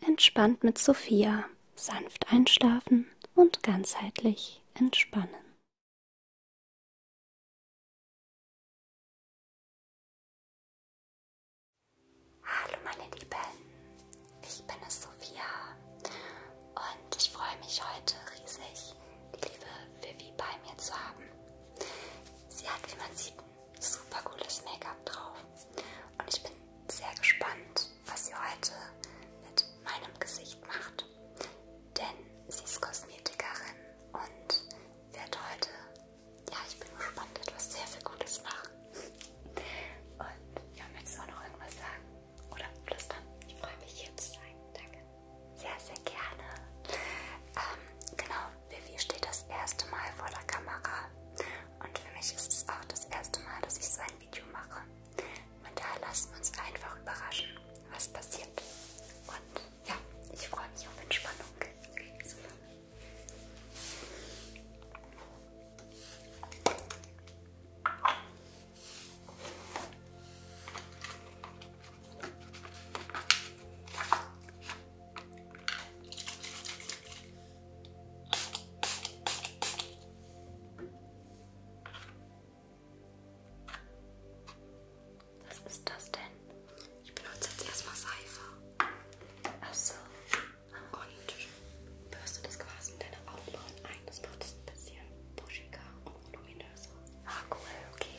Entspannt mit Sophia. Sanft einschlafen und ganzheitlich entspannen. Hallo meine Lieben, ich bin es Sophia und ich freue mich heute riesig, die liebe Vivi bei mir zu haben. Sie hat, wie man sieht, super cooles Make-up drauf und ich bin sehr gespannt, was sie heute mit meinem Gesicht macht, denn sie ist Kosmetikerin und wird heute, ja, ich bin gespannt, etwas sehr, sehr Gutes machen. Und ja, möchtest du auch noch irgendwas sagen oder flüstern? Ich freue mich, hier zu sein. Danke. Sehr, sehr gerne. Ähm, genau, Vivi steht das erste Mal vor der Kamera und für mich ist es auch das erste Mal, dass ich so ein Video mache. Und da lassen wir uns einfach überraschen, was passiert. Und ja, ich freue mich auf Entspannung. Super. Was ist das denn? Ich benutze jetzt erstmal Seife. Ach so. Und bürste das quasi in deine Augenbrauen ein. Das macht es ein bisschen buschiger und voluminöser. Ah, cool, okay.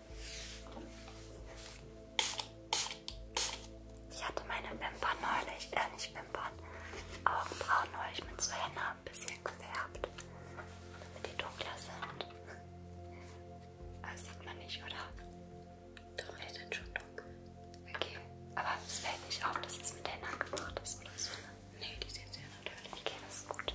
Ich hatte meine Wimpern neulich, äh nicht Wimpern, Augenbrauen neulich mit so Henna ein bisschen gefärbt, damit die dunkler sind. Das sieht man nicht, oder? Doch, die sind schon dunkel. Okay, aber es fällt nicht auf, dass es mit Henna gemacht ist oder so. Ne, die sehen sehr natürlich. Okay, das ist gut.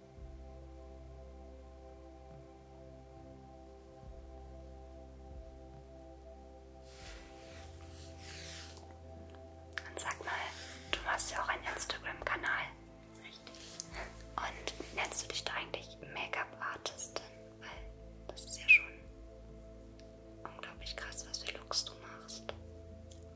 Und sag mal, du hast ja auch einen Instagram-Kanal. Richtig. Und nennst du dich da eigentlich Make-up-Artistin? Weil das ist ja schon unglaublich krass, was für Looks du machst.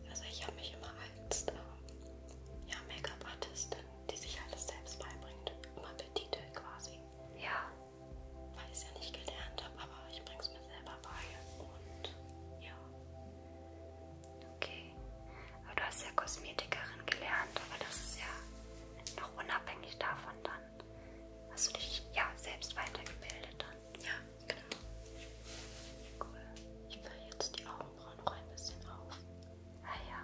Also ich habe mich immer als ähm, ja, Make-up-Artistin die sich alles selbst beibringt. Immer Petite quasi. Ja. Weil ich es ja nicht gelernt habe, aber ich bringe es mir selber bei. Und ja. Okay. Aber du hast ja Kosmetikerin gelernt, aber das ist ja noch unabhängig davon dann. Hast du dich ja selbst weitergebildet dann? Ja, genau. Cool. Ich fülle jetzt die Augenbrauen noch ein bisschen auf. Ah ja.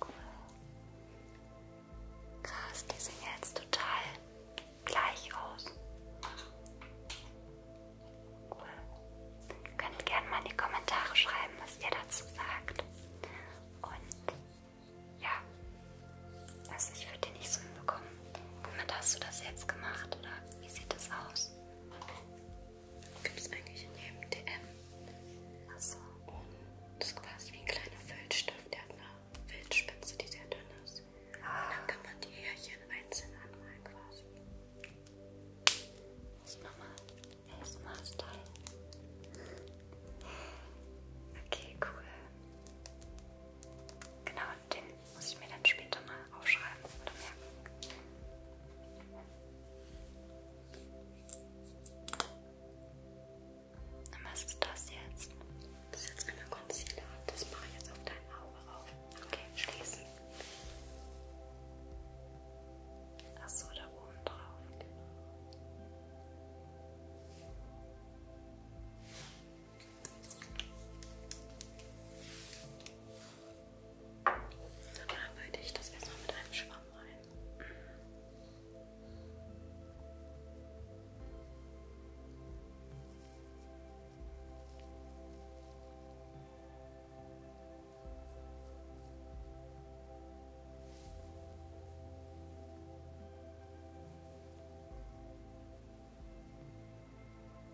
Cool. Krass, die sehen jetzt total gleich aus. Cool. Ihr könnt gerne mal in die Kommentare schreiben, was ihr dazu sagt. Und ja, also ich würde die nicht so hinbekommen. Womit hast du das jetzt gemacht oder wie sieht das aus? Gibt es eigentlich in jedem DM. Achso. Und das ist quasi wie ein kleiner Füllstift. Der hat eine Wildspitze, die sehr dünn ist. Ah. Und dann kann man die Härchen einzeln anmalen quasi. Ich mach mal ASMR-Style. Okay, cool. Genau, den muss ich mir dann später mal aufschreiben oder merken. Was ist das jetzt? Das ist jetzt einmal Concealer. Das mache ich jetzt auf dein Auge auf. Okay, schließen. Achso, da oben drauf. Genau. Dann arbeite ich das erstmal mit einem Schwamm ein.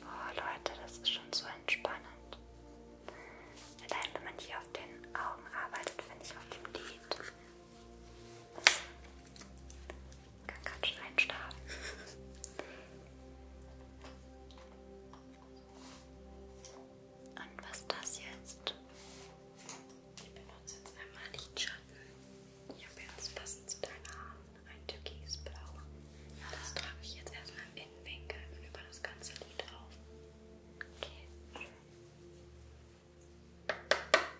Oh Leute, das ist schon so entspannend. Allein wenn man hier auf den Augen arbeitet, finde ich auf dem Lied. Kann ganz schön einstarren. Und was ist das jetzt? Ich benutze jetzt einmal Lidschatten. Ich habe jetzt passend zu deinen Haaren ein türkisblau. Ja, das trage ich jetzt erstmal im Innenwinkel und über das ganze Lid auf. Okay.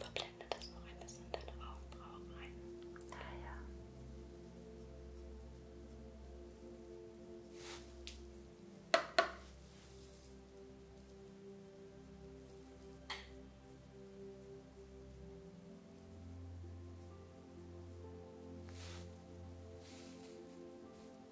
Verblende das noch ein bisschen in deine Augenbrauen rein. Ah ja.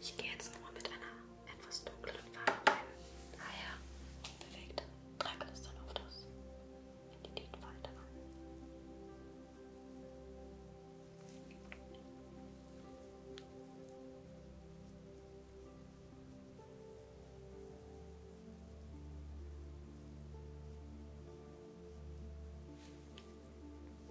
Ich gehe jetzt nochmal mit einer etwas dunkleren Farbe rein. Ah ja, perfekt. Trage das dann auf das Identitätfalter an.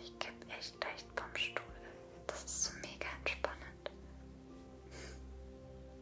Ich kipp echt leicht vom Stuhl. Das ist so mega entspannend.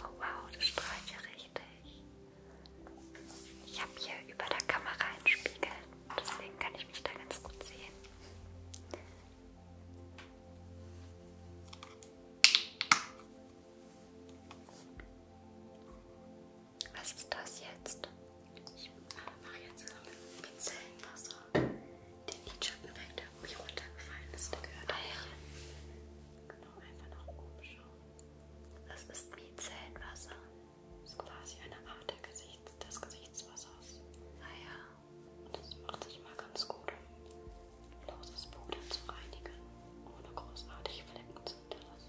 Oh wow, das strahlt ja richtig. Ich habe hier über der Kamera einen Spiegel, deswegen kann ich mich da ganz gut sehen. Was ist das jetzt? Ich mache jetzt so mit Pinzellenwasser den Lidschatten weg, der irgendwie runtergefallen ist. Der gehört ah, ja. Genau, einfach nach oben schauen. Das ist Micellenwasser. Das ist quasi eine Art der Gesichts des Gesichtswassers. Naja. Ah, Und das macht sich mal ganz gut, um loses Puder zu reinigen, ohne großartig Flecken zu hinterlassen.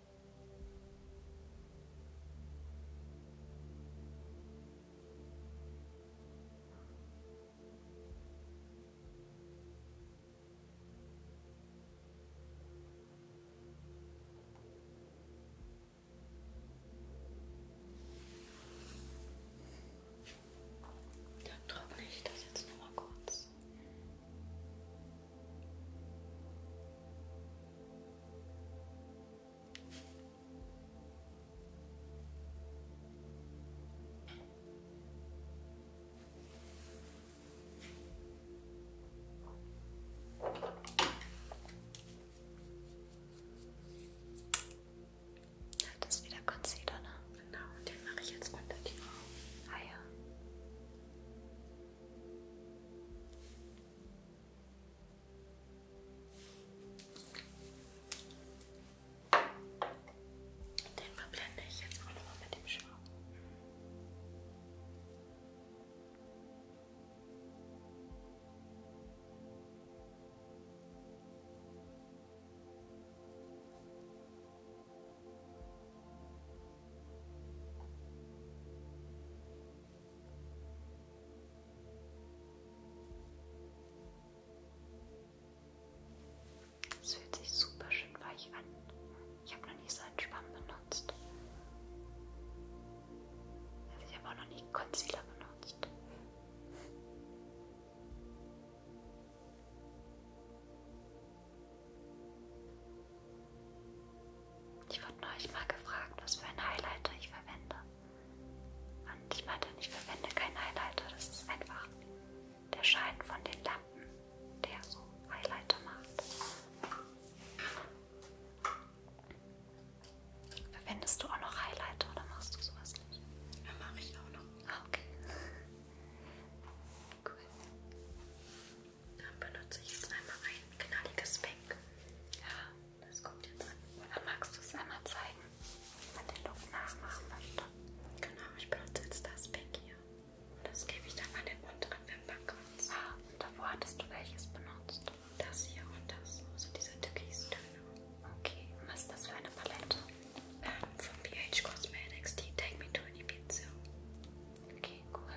Trockne ich das jetzt nochmal kurz. Das ist wieder Concealer, ne? Genau, und den mache ich jetzt unter die Augen. Ah ja. Den verblende ich jetzt auch nochmal mit dem Schwamm. Es fühlt sich super schön weich an. Ich habe noch nie so einen Schwamm benutzt. Also ich habe auch noch nie Concealer benutzt. Ich wurde neulich mal gefragt, was für einen Highlighter ich verwende. Und ich meinte, ich verwende keinen Highlighter, das ist einfach der Schein von den Lampen, der so Highlighter macht. Verwendest du auch noch Highlighter oder machst du sowas nicht? Ja, mache ich auch noch. Ah, okay. Cool. Dann benutze ich jetzt einmal ein knalliges Pink. Ja, das kommt jetzt an. Oder magst du es einmal zeigen, wie man den Look nachmachen möchte? Genau, ich benutze jetzt das Pink hier. Und das gebe ich dann an den unteren Wimpernkranz. Ah, und davor hattest du welches benutzt? Das hier und das. Also diese Türkis-Töne. Okay, und was ist das für eine Palette? Ähm, von BH Cosmetics, die Take Me To An Ibiza. Okay, cool.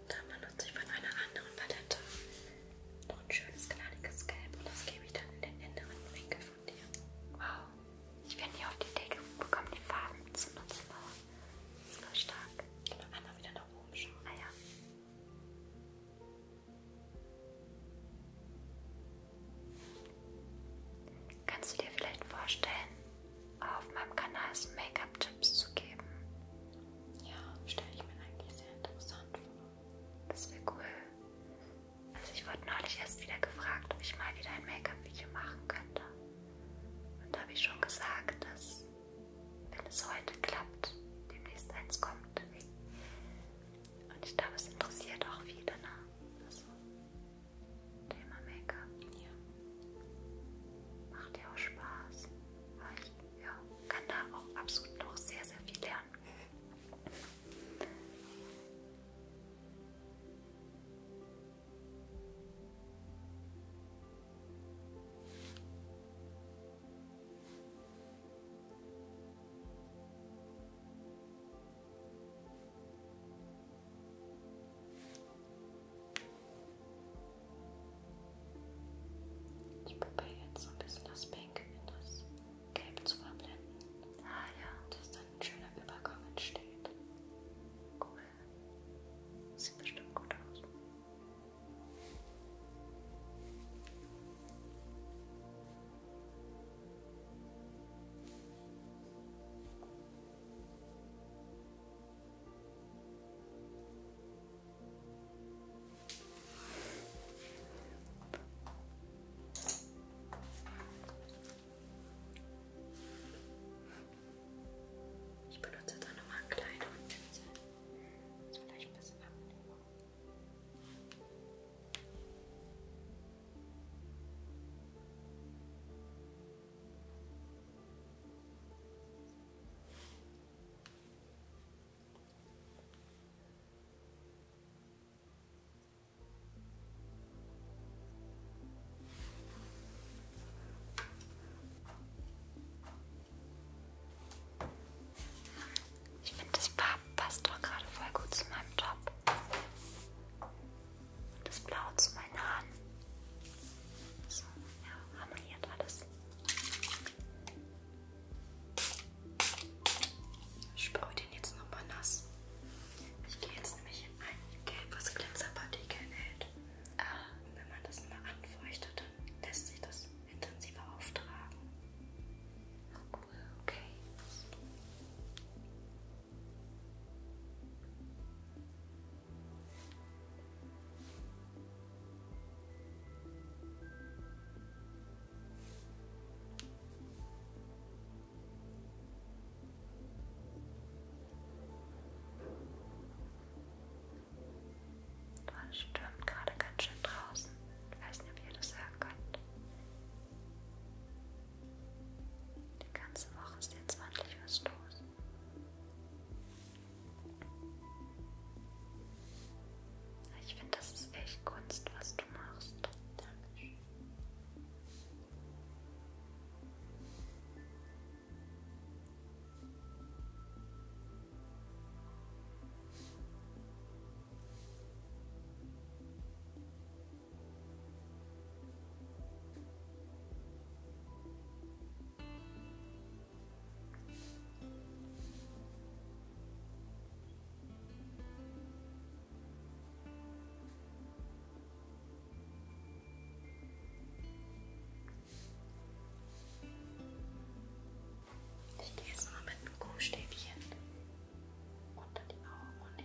Und dann benutze ich von einer anderen Palette noch ein schönes, knalliges Gelb und das gebe ich dann in den inneren Winkel von dir. Wow, ich bin nie auf die Idee gekommen, die Farben zu nutzen. Das ist voll stark. Und dann einmal wieder nach oben schauen. Ah, ja. Kannst du dir vielleicht vorstellen, auf meinem Kanal so Make-up-Tipps zu geben? Ja, stelle ich mir eigentlich sehr interessant vor. Das wäre cool. Also ich wurde neulich erst wieder gefragt, ob ich mal wieder ein Make-up-Video machen könnte. Und da habe ich schon gesagt, dass wenn es heute klappt, demnächst eins kommt. Und ich glaube, es interessiert auch viele, ne? Also Thema Make-up. Ja. Macht ja auch Spaß. Weil ich ja, kann da auch absolut noch sehr, sehr viel lernen. Ich probiere jetzt so ein bisschen das Pink in das Gelb zu verblenden. Ah ja. Dass dann ein schöner Übergang entsteht. Cool. Sieht bestimmt gut aus. Ich benutze da nochmal einen kleinen Pinsel. Das ist vielleicht ein bisschen angenehmer. Ich finde, das passt doch gerade voll gut zu meinem Job das Blau zu meinen Haaren. So, ja, harmoniert alles. Ich sprühe den jetzt nochmal nass. Ich gehe jetzt nämlich in ein Gelb, was Glitzerpartikel enthält. Ah, wenn man das mal anfeuchtet, dann lässt sich das intensiver auftragen. Okay. Es stürmt gerade ganz schön draußen. Ich weiß nicht, ob ihr das hören könnt. Die ganze Woche ist jetzt ordentlich was los. Ich finde, das ist echt Kunst, was du machst. Dankeschön. Ich gehe jetzt mal mit dem Kuhstäbchen unter die Augen und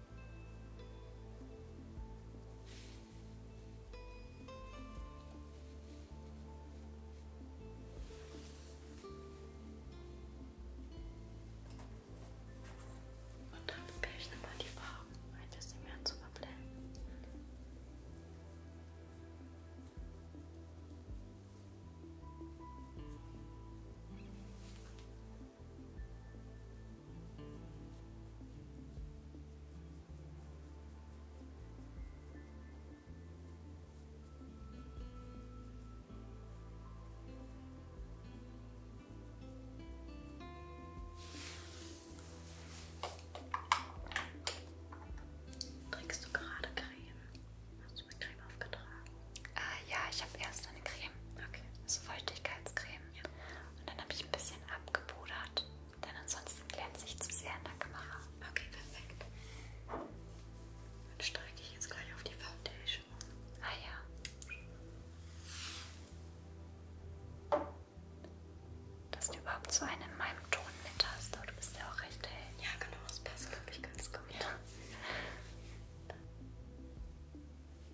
Und dann probiere ich nochmal die Farben ein bisschen mehr zu verblenden. Trägst du gerade Creme? Hast du mir Creme aufgetragen? Ah ja, ich habe erst eine Creme. Okay. Also Feuchtigkeitscreme. Sonnencreme. Ja. Und dann habe ich ein bisschen abgepudert, denn ansonsten glänze ich zu sehr in der Kamera. Okay, perfekt. Dann steige ich jetzt gleich auf die Foundation. Ah ja. Dass du überhaupt so einen in meinem Ton mit hast, aber du bist ja auch recht hell. Ja, genau, das passt, glaube ich, ganz gut. Ja.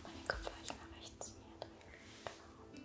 Aber den Kopf gleich nach rechts hier drehen. Genau.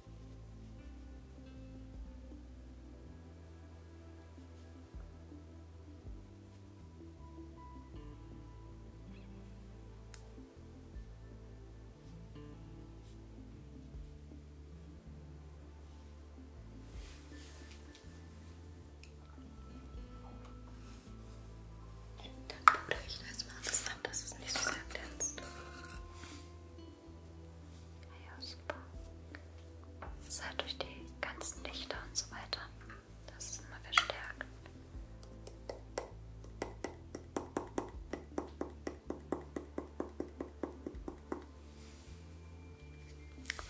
Dann pudere ich das mal zusammen, dass es nicht so sehr glänzt. Ja, super. Das ist halt durch die ganzen Lichter und so weiter. Das ist immer verstärkt.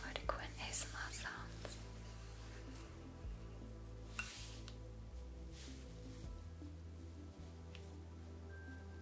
Voll die coolen ASMR-Sounds.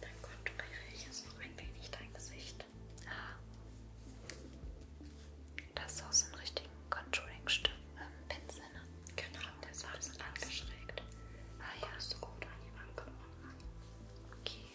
Dann konturiere ich jetzt noch ein wenig dein Gesicht. Ah. Das ist aus dem richtigen Contouring-Stift, äh, Pinsel, ne? Genau, der ist alles angeschrägt. Ah ja, hast du gut an die Wange Okay.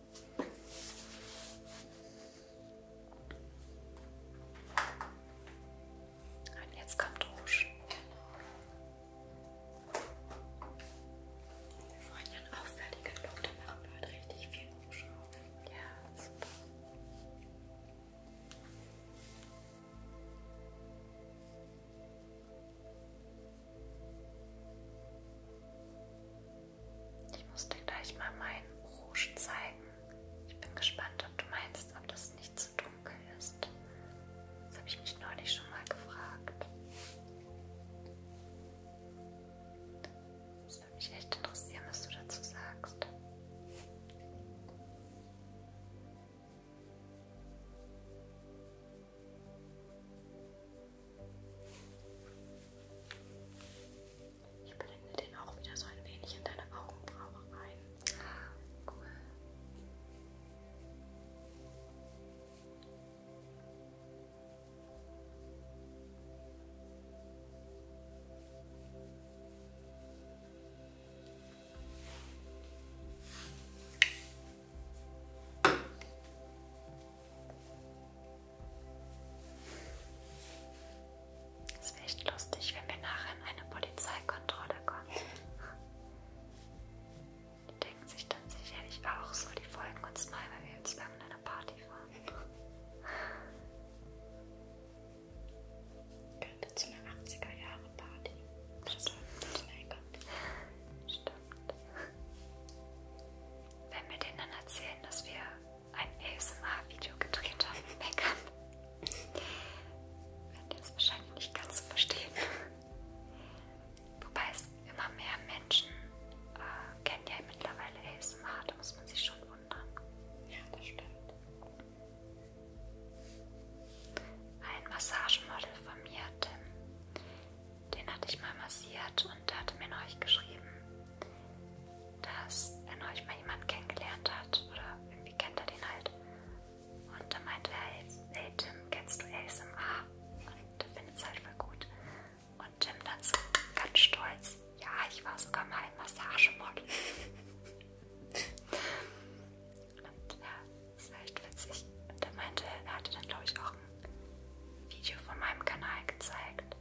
Und jetzt kommt Rouge. Genau. Wir wollen ja einen auffälligen Look, da machen wir halt richtig viel Rouge auf. Ja, super. Ich muss dir gleich mal meinen Rouge zeigen. Ich bin gespannt, ob du meinst, ob das nicht zu dunkel ist. Das habe ich mich neulich schon mal gefragt. Das würde mich echt interessieren, was du dazu sagst. Ich blende den auch wieder so ein wenig in deine Augenbraue rein. Ah, cool. Sehr es wäre echt lustig, wenn wir nachher in eine Polizeikontrolle kommen. Die denken sich dann sicherlich auch so, die folgen uns mal, weil wir jetzt irgendeine Party fahren. Könnte zu einer 80er-Jahre-Party. Stimmt. Wenn wir denen dann erzählen, dass wir ein ASMR-Video gedreht habe im Make-up. Werdet ihr es wahrscheinlich nicht ganz so verstehen. Wobei es immer mehr Menschen äh, kennen ja mittlerweile ASMR, da muss man sich schon wundern. Ja, das stimmt. Ein Massagemodel von mir, Tim, den hatte ich mal massiert und hatte mir neulich geschrieben, dass er neulich mal jemanden kennengelernt hat oder irgendwie kennt er den halt. Und da meinte er, hey Tim, kennst du ASMR? Und der findet es halt voll gut. Und Tim dann so ganz stolz, ja, ich war sogar mal ein Massagemodel. und ja, das war echt witzig. Und er meinte, er hatte dann glaube ich auch ein Video von meinem Kanal gezeigt.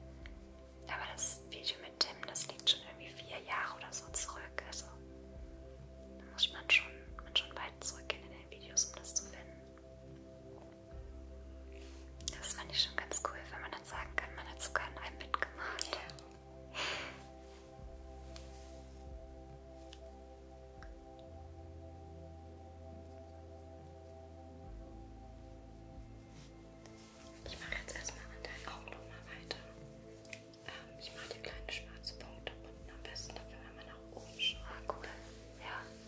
Aber das Video mit mit Tim, das liegt schon irgendwie vier Jahre oder so zurück. Also da muss man schon, man schon weit zurückgehen in den Videos, um das zu finden. Das fand ich schon ganz cool, wenn man dann sagen kann, man hat sogar in einem mitgemacht. Ja. Ich mache jetzt erstmal an deinen Augen nochmal weiter. Ähm, ich mache die kleinen schwarzen Punkte unten am besten dafür, wenn man nach oben schaut. Ah, cool. Ja. Okay.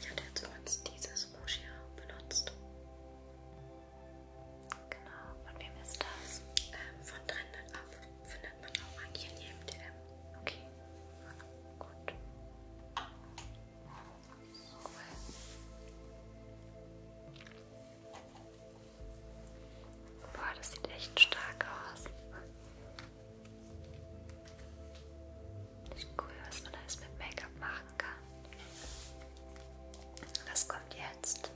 Ich hatte jetzt übrigens dieses Rouge hier benutzt. Genau, von wem ist das? Ähm, von Trended Up findet man auch eigentlich in jedem DM. Okay, gut. Cool. Boah, das sieht echt stark aus. Das ist cool, was man alles mit Make-up machen kann. Was kommt jetzt?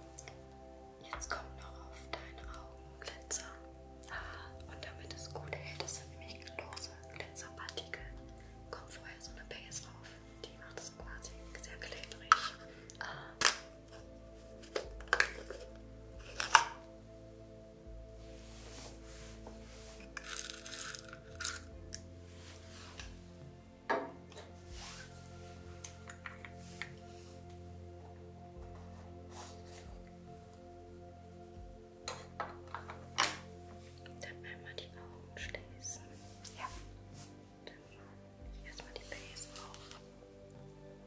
Jetzt kommt noch auf deine Augen Glitzer. Ah, und damit es gut hält, das sind nämlich lose Glitzerpartikel. Kommt vorher so eine Base drauf. Die macht es quasi sehr klebrig. Ah. Dann einmal die Augen schließen. Ja. Dann erstmal die Base auf.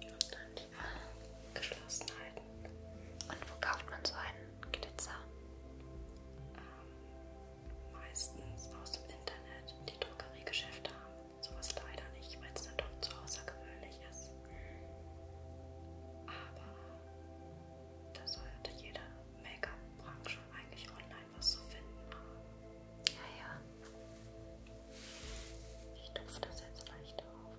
Und dann die Augen geschlossen halten. Und wo kauft man so einen Glitzer? Ähm, meistens aus dem Internet. Die Drogeriegeschäfte haben sowas leider nicht, weil es dann doch zu außergewöhnlich ist. Aber da sollte jede Make-up-Branche eigentlich online was zu finden haben. Ja, ja. Ich tupfe das jetzt leicht auf.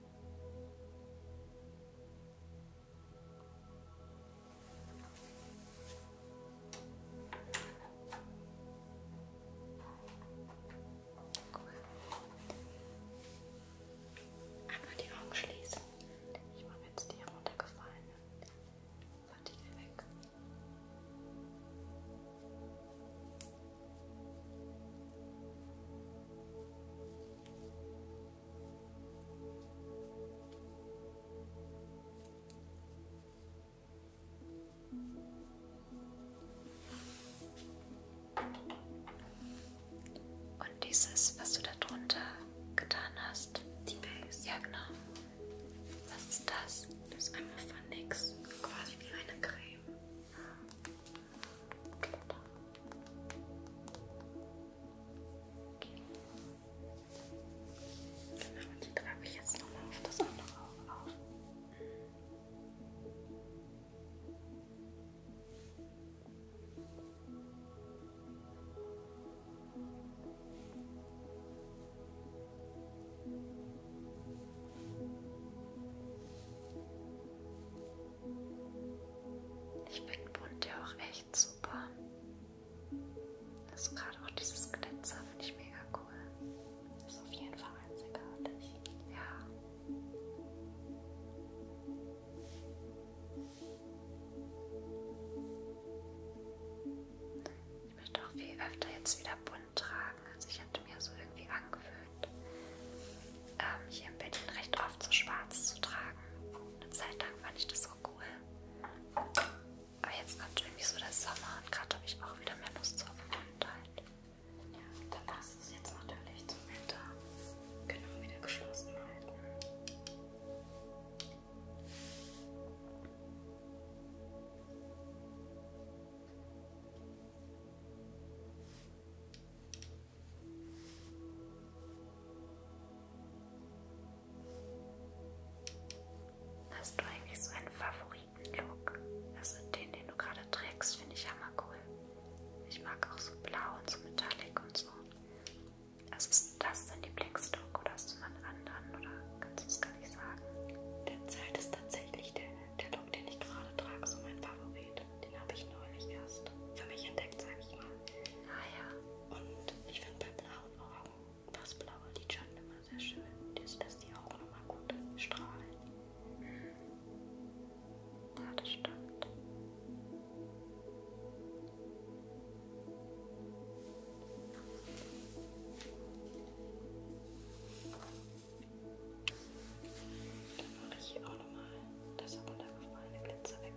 Cool. Einmal die Augen schließen. Ich mache jetzt die heruntergefallene Partikel weg. Und dieses, was du da drunter getan hast. Die Base. Ja, genau. Was ist das? Das ist einmal von NYX. Quasi wie eine Creme. Genau, die trage ich jetzt nochmal auf das andere Auge auf. Okay. Ich finde bunt ja auch echt super. Also gerade auch dieses Glitzer finde ich mega cool. Ist auf jeden Fall einzigartig. Ja. Ich möchte auch viel öfter jetzt wieder bunt tragen sagen. Also ich hatte mir so irgendwie angewöhnt, ähm, hier in Berlin recht oft so schwarz zu tragen. Eine Zeit lang fand ich das so cool. Aber jetzt kommt irgendwie so der Sommer und gerade habe ich auch wieder mehr Lust auf Buntheit. Ja, dann passt es jetzt natürlich zum Winter. Genau wieder geschlossen halten. Hast du eigentlich so einen Favoriten-Look? Also den, den du gerade trägst, finde ich hammer cool. Ich mag auch so blau und so metallic und so. Also ist das dein Lieblingslook oder hast du mal einen anderen oder kannst du es gar nicht sagen? Derzeit ist tatsächlich der, der Look, den ich gerade trage, so mein Favorit. Den habe ich neulich erst für mich entdeckt, sage ich mal. Ah ja. Und ich finde bei blauen Augen das blaue Lidschatten immer sehr schön. Das lässt die Augen nochmal gut strahlen. Ja, das stimmt. Dann mache ich hier auch nochmal das runtergefallene Glitzer weg.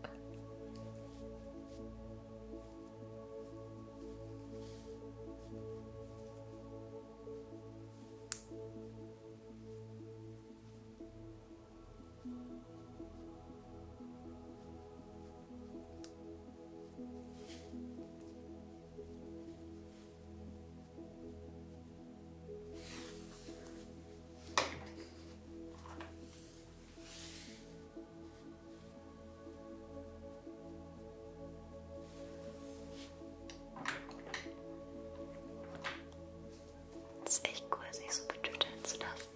Das ist echt cool, sich so betüteln zu lassen.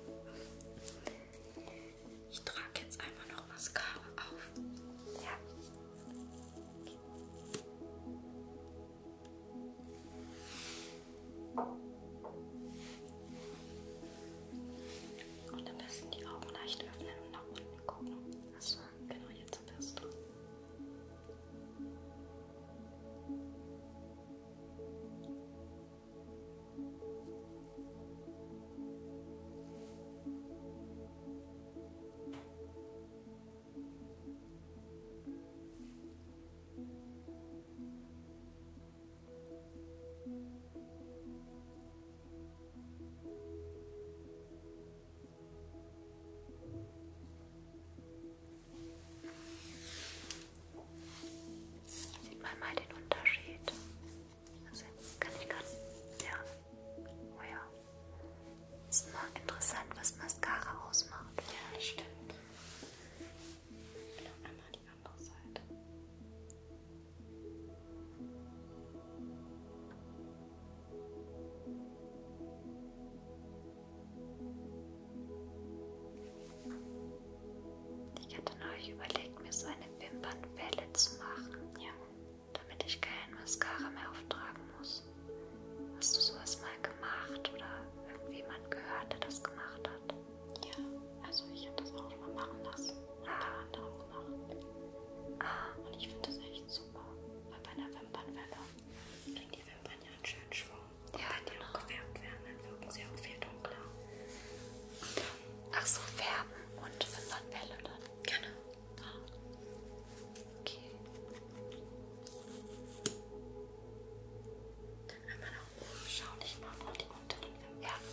Ich trage jetzt einfach noch Mascara auf. Ja. Und am besten die Augen leicht öffnen und nach unten gucken. Achso, genau jetzt am besten. Sieht man mal den Unterschied? Also jetzt kann ich gerade, ja, oh ja. Ist immer interessant, was Mascara ausmacht. Ja, stimmt. Noch einmal die andere Seite. Ich hatte neulich überlegt, mir so eine Wimpernwelle zu machen, ja. damit ich keine Mascara mehr auftragen muss nicht. Hast du sowas mal gemacht oder irgendjemand gehört, der das gemacht hat? Ja, also ich habe das auch schon mal machen lassen. Und ah. der andere auch gemacht. Ah. Und ich finde das echt super. Weil bei einer Wimpernwelle kriegen die Wimpern ja einen schönen Schwung. Und ja, wenn die genau. auch gefärbt werden, dann wirken sie auch viel dunkler. Ach so, färben und Wimpernwelle dann? Genau. Ah. Okay. Dann einmal nach oben, schau dich mal vor die unteren Wimpern. Dann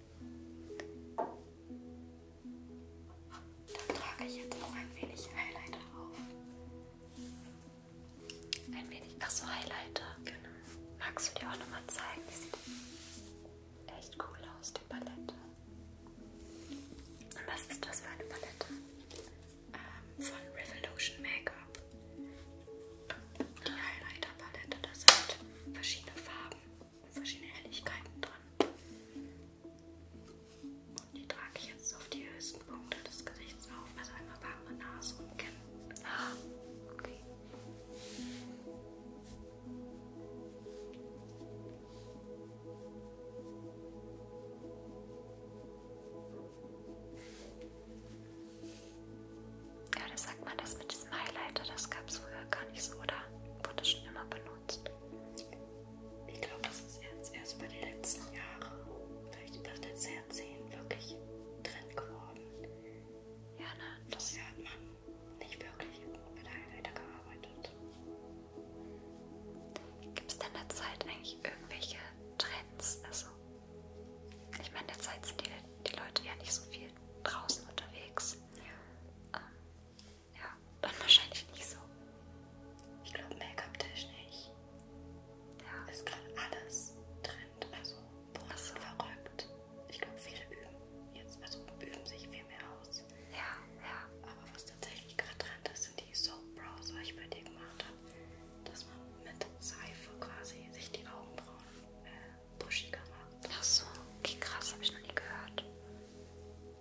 Dann trage ich jetzt noch ein wenig Highlighter auf. Ein wenig, ach so, Highlighter. Genau. Magst du dir auch nochmal zeigen? Die sieht echt cool aus, die Palette. Und was ist das für eine Palette? Ähm, von Revolution Makeup. Die Highlighter-Palette, da sind verschiedene Farben verschiedene Helligkeiten dran. Und die trage ich jetzt auf die höchsten Punkte des Gesichts auf. Also einmal warme Nase und Kinn. Ah, okay. Ja, das sagt man das mit diesem Highlighter, das gab es früher gar nicht so, oder? Wurde schon immer benutzt. Ich glaube, das ist jetzt erst über die letzten Jahre, vielleicht über das letzte Jahrzehnt, wirklich Trend geworden. Ja, ne? Das Jahr hat man nicht wirklich mit einem weitergearbeitet. Gibt es denn derzeit eigentlich irgendwelche Trends? Also, ich meine, derzeit sind die, die Leute ja nicht so viel draußen unterwegs. Ja. Ähm, ja, dann wahrscheinlich nicht so. Ich glaube, Make-up-technisch ja. ist gerade alles Trend. Also, Brust so. verrückt. Ich glaube, viele üben jetzt, also üben sich viel mehr aus. Ja, ja. Aber was tatsächlich gerade Trend ist, sind die Soap Brows, was ich bei dir gemacht habe, dass man mit Seife quasi sich die Augenbrauen äh, buschiger macht. Ach so, okay, krass, habe ich noch nie gehört.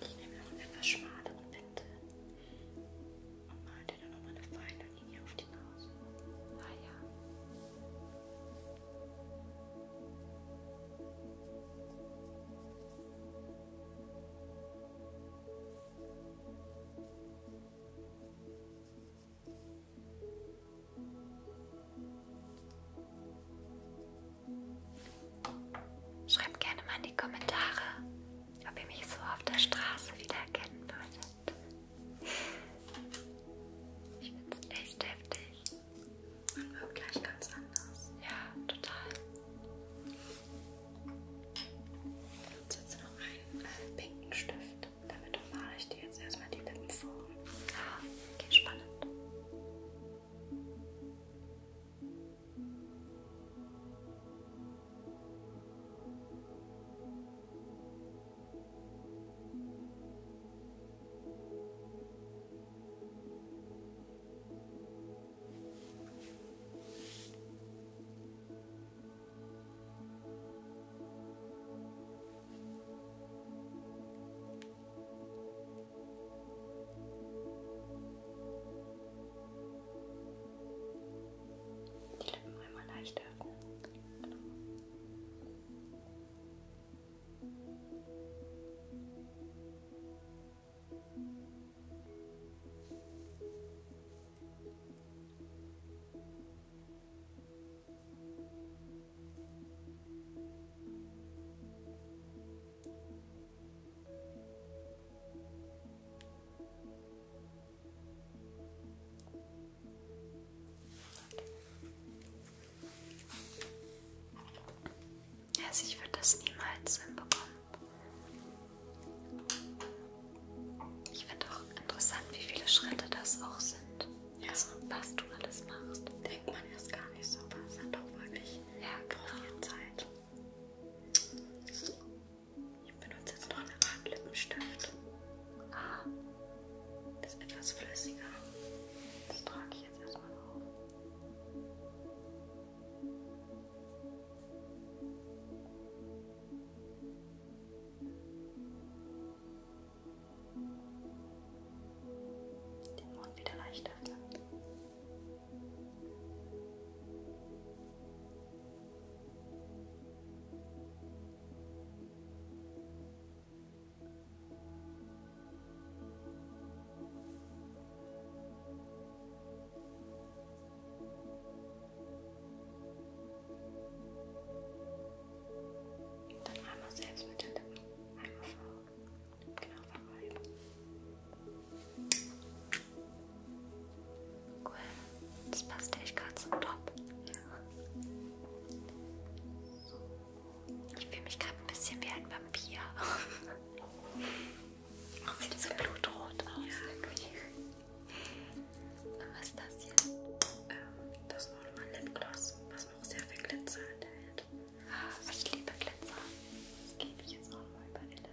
Ich nehme noch einen etwas schmaleren Pinsel und male dir dann nochmal eine feine Linie auf die Nase. Ah ja. Genau. Schreibt gerne mal in die Kommentare, ob ihr mich so auf der Straße wiedererkennen würdet. Ich finde es echt heftig. Man wirkt gleich ganz anders. Ja, total. Jetzt setze noch einen äh, pinken Stift. Damit male ich dir jetzt erstmal die Lippen vor. Ah, okay, spannend. Okay, die Lippen einmal leicht öffnen. Genau. Genau. Also ich würde das niemals hinbekommen. Ich finde auch interessant, wie viele Schritte das auch sind. Ja. Also, was du alles machst. Denkt man erst gar nicht so, aber es hat auch wirklich ja, genau. Zeit. Ich benutze jetzt noch eine Art Lippenstift. Ah. Das ist etwas flüssiger. Das trage ich jetzt erstmal auf. Den Mund wieder leicht öffnen. Dann einmal selbst mit den Lippen. Einmal vor. Genau, vorbei. Cool. Das passt echt gerade so top. So. Ich fühle mich gerade ein bisschen wie ein Vampir. Sieht so blutrot aus. Ja. Was ist das jetzt? Ähm, das Normal Lipgloss, was auch sehr viel Glitzer enthält. Ah, ich liebe Glitzer. Das gebe ich jetzt auch mal über die Lippen.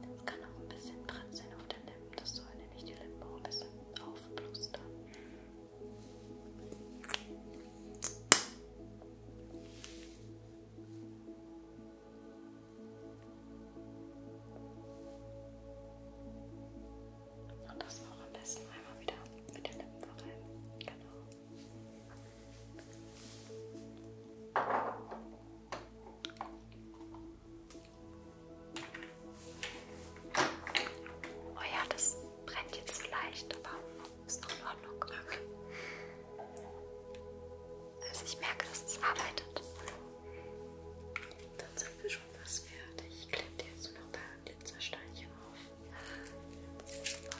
Das kann auch ein bisschen pritzeln auf den Lippen, das soll halt nämlich die Lippen auch ein bisschen aufblustern. Und das auch am besten einmal wieder mit den Lippen verreiben. Genau. Oh ja, das brennt jetzt so leicht, aber ist doch in Ordnung. Okay. Also ich merke, dass es arbeitet. Dann sind wir schon fast fertig. Ich klebe dir jetzt noch ein paar Glitzersteinchen auf. Super.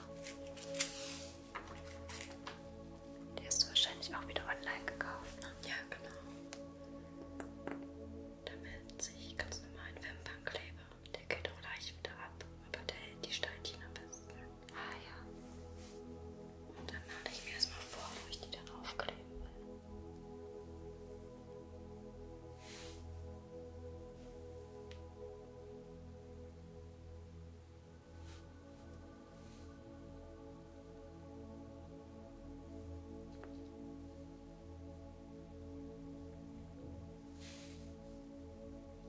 Die hast du wahrscheinlich auch wieder online gekauft, ne? Ja, genau. Damit sich ganz normal ein Wimpernkleber der geht auch gleich wieder ab, aber der hält die Steinchen am besten. Ah ja. Und dann lade ich mir erstmal vor, wo ich die dann aufkleben will.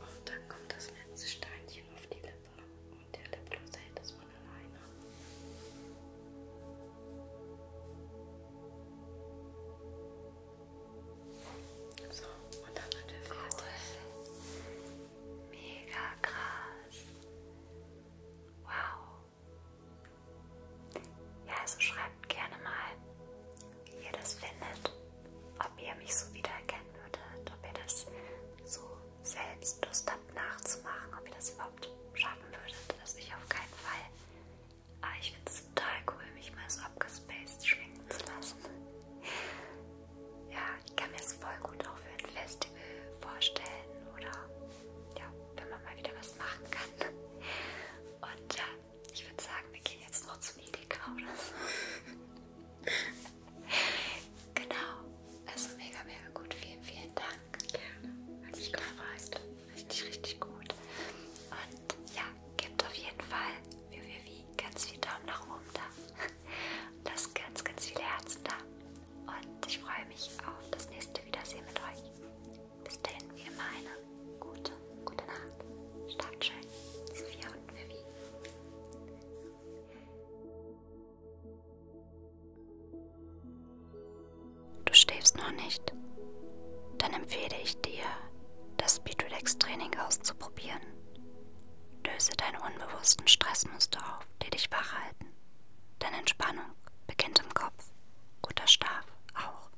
Und dann kommt das letzte Steinchen auf die Lippe und der Lipgloss hält es von alleine. So, und dann sind wir fertig. Cool. Mega krass. Wow. Ja, also schreibt gerne mal, wie ihr das findet, ob ihr mich so wiedererkennen würdet, ob ihr das so selbst Lust habt nachzumachen, ob ihr das überhaupt schaffen würdet. Also ich auf keinen Fall. Aber ah, ich finde es total cool, mich mal so abgespaced schminken zu lassen. Ja, ich kann mir es voll gut auch für ein Festival vorstellen oder ja, wenn man mal wieder was machen kann. Und ja, ich würde sagen, wir gehen jetzt noch zum Edeka oder so. genau. Also mega, mega gut. Vielen, vielen Dank. Gerne. Hat mich gefreut. Richtig, richtig gut. Und ja, gebt auf jeden Fall www ganz viel Daumen nach oben da. Und lasst ganz, ganz viele Herzen da. Und ich freue mich auf das nächste Wiedersehen mit euch. Bis dahin, wie immer, eine gute, gute Nacht. Schlaft schön. Sophia und Vivi. Du schläfst noch nicht? Dann empfehle ich dir, das Speedrelax-Training auszuprobieren. Löse deine unbewussten Stressmuster auf, die dich wach halten. Denn Entspannung beginnt im Kopf, guter Schlaf auch.